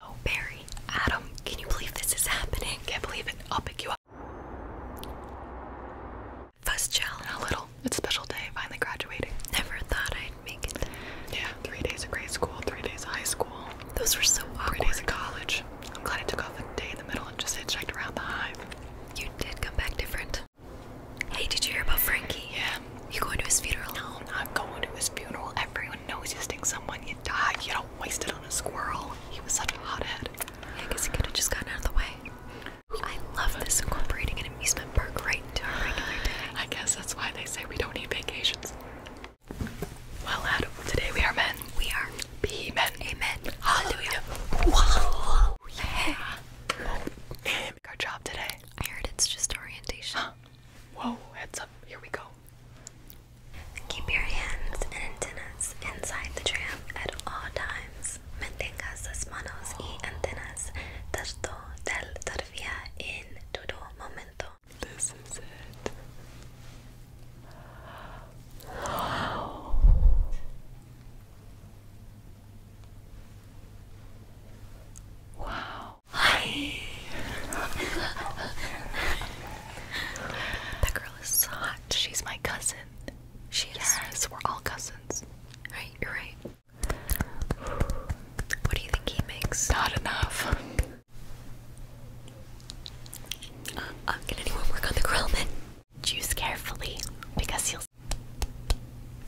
Oh, Barry, Adam, can you believe this is happening? Can't believe it. I'll pick you up. First chill a little. It's a special day, finally graduating. Never thought I'd make it. Yeah, three days of grade school, three days of high school. Those were so awkward. Three days of college. I'm glad I took off a day in the middle and just hitchhiked around the hive. You did come back different. Hey, did you hear about Frankie? Yeah. You going to his funeral? No, I'm not going to his funeral. Everyone Everyone knows you someone, you die, you don't waste it on a squirrel. He was such a hot head. I guess he could have just gotten out of the way. I love this incorporating an amusement park right into our regular day. I guess that's why they say we don't need vacations. Well, lad, today we are men. We are. Be men. Amen. Hallelujah. Yeah. Oh, Our job today. I heard it's just orientation. Whoa, heads up, here we go. Keep your hands and antennas inside the tram at all times. Mantengas las manos y antenas tanto del tranvía en todo momento. This is it. Wow. That girl is hot. She's my cousin. She is. we're all cousins. Right, you're right. What do you think he makes? Not enough. Uh, can anyone work on the grill Choose carefully because you'll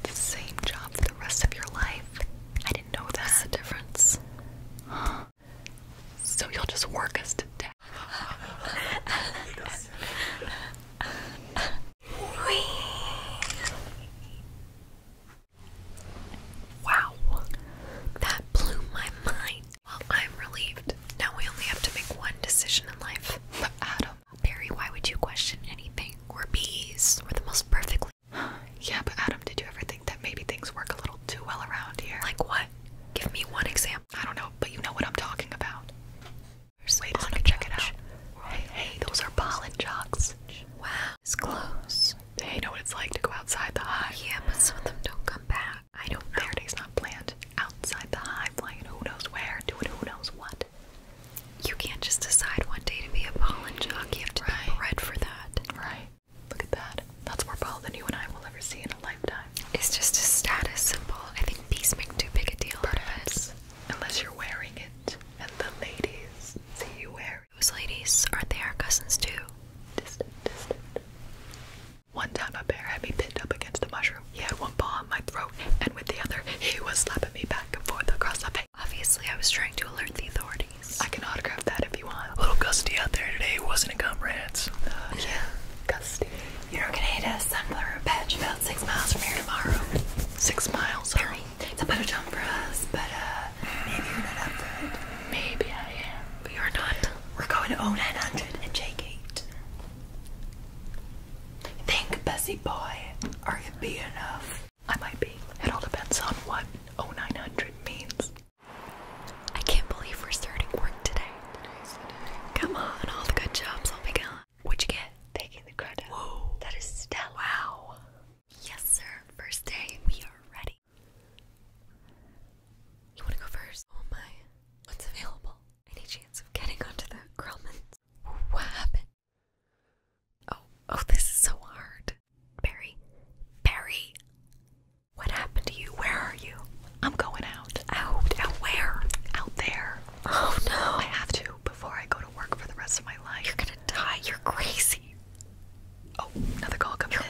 the same job for the rest of your life did know that. the difference? So you'll just work us to death. wow, that blew my mind. Well, I'm relieved. Now we only have to make one decision in life. But Adam, Barry, why would you question anything? We're bees. We're the most perfectly Yeah, but Adam, did you ever think that maybe things work a little too well around here? Like what? Give me one example. I don't know, but you know what I'm talking about. There's Wait a second, check it out. Hey, those are pollen jocks. Wow, it's close. Hey, know what it's like to go outside the hive. Yeah, but some of them don't come back. I don't know. Their day's not planned. Outside the hive, flying who knows where, doing who knows what you can't just decide one day to be a ball and jock. You have to be bred for that. Right. Look at that. That's more ball than you and I will ever see in a lifetime. It's just a status symbol. I think bees make too big a deal Perhaps. of Unless you're wearing it. And the ladies see you wear it. Those ladies, aren't they our cousins too? One time a bear had me pinned up against a mushroom. He had one ball in my throat, and with the other, he was slapping me back across the bay. Obviously, I was trying to alert the authorities. I can autograph that if you want. A little gusty out there today, wasn't it, comrades? Uh, yeah, gusty. You're gonna hit a sunflower patch about six miles from here tomorrow. Six miles? Sorry. It's a better jump for us, but uh, maybe you're not up for it. Maybe I am. But you're not. We're going to 0900 and J Gate. Think, Bessie boy, are you be enough? I might be. It all depends on what 0900 means. I can't believe we're starting work today. Come on, all the good jobs will be gone. What'd you get? Taking the credit. Whoa. That is stellar. Wow. Yes, sir. First day. We are ready. You want to go first? Oh my. What's available? Any chance of getting onto the Grumman what happened? Oh, oh, this is so hard. Barry, Barry, what happened to you? Where are you? I'm going out. Out, out where? Out there. Oh no. I have to before I go to work for the rest of my life. You're gonna die. You're crazy. Oh, another call coming.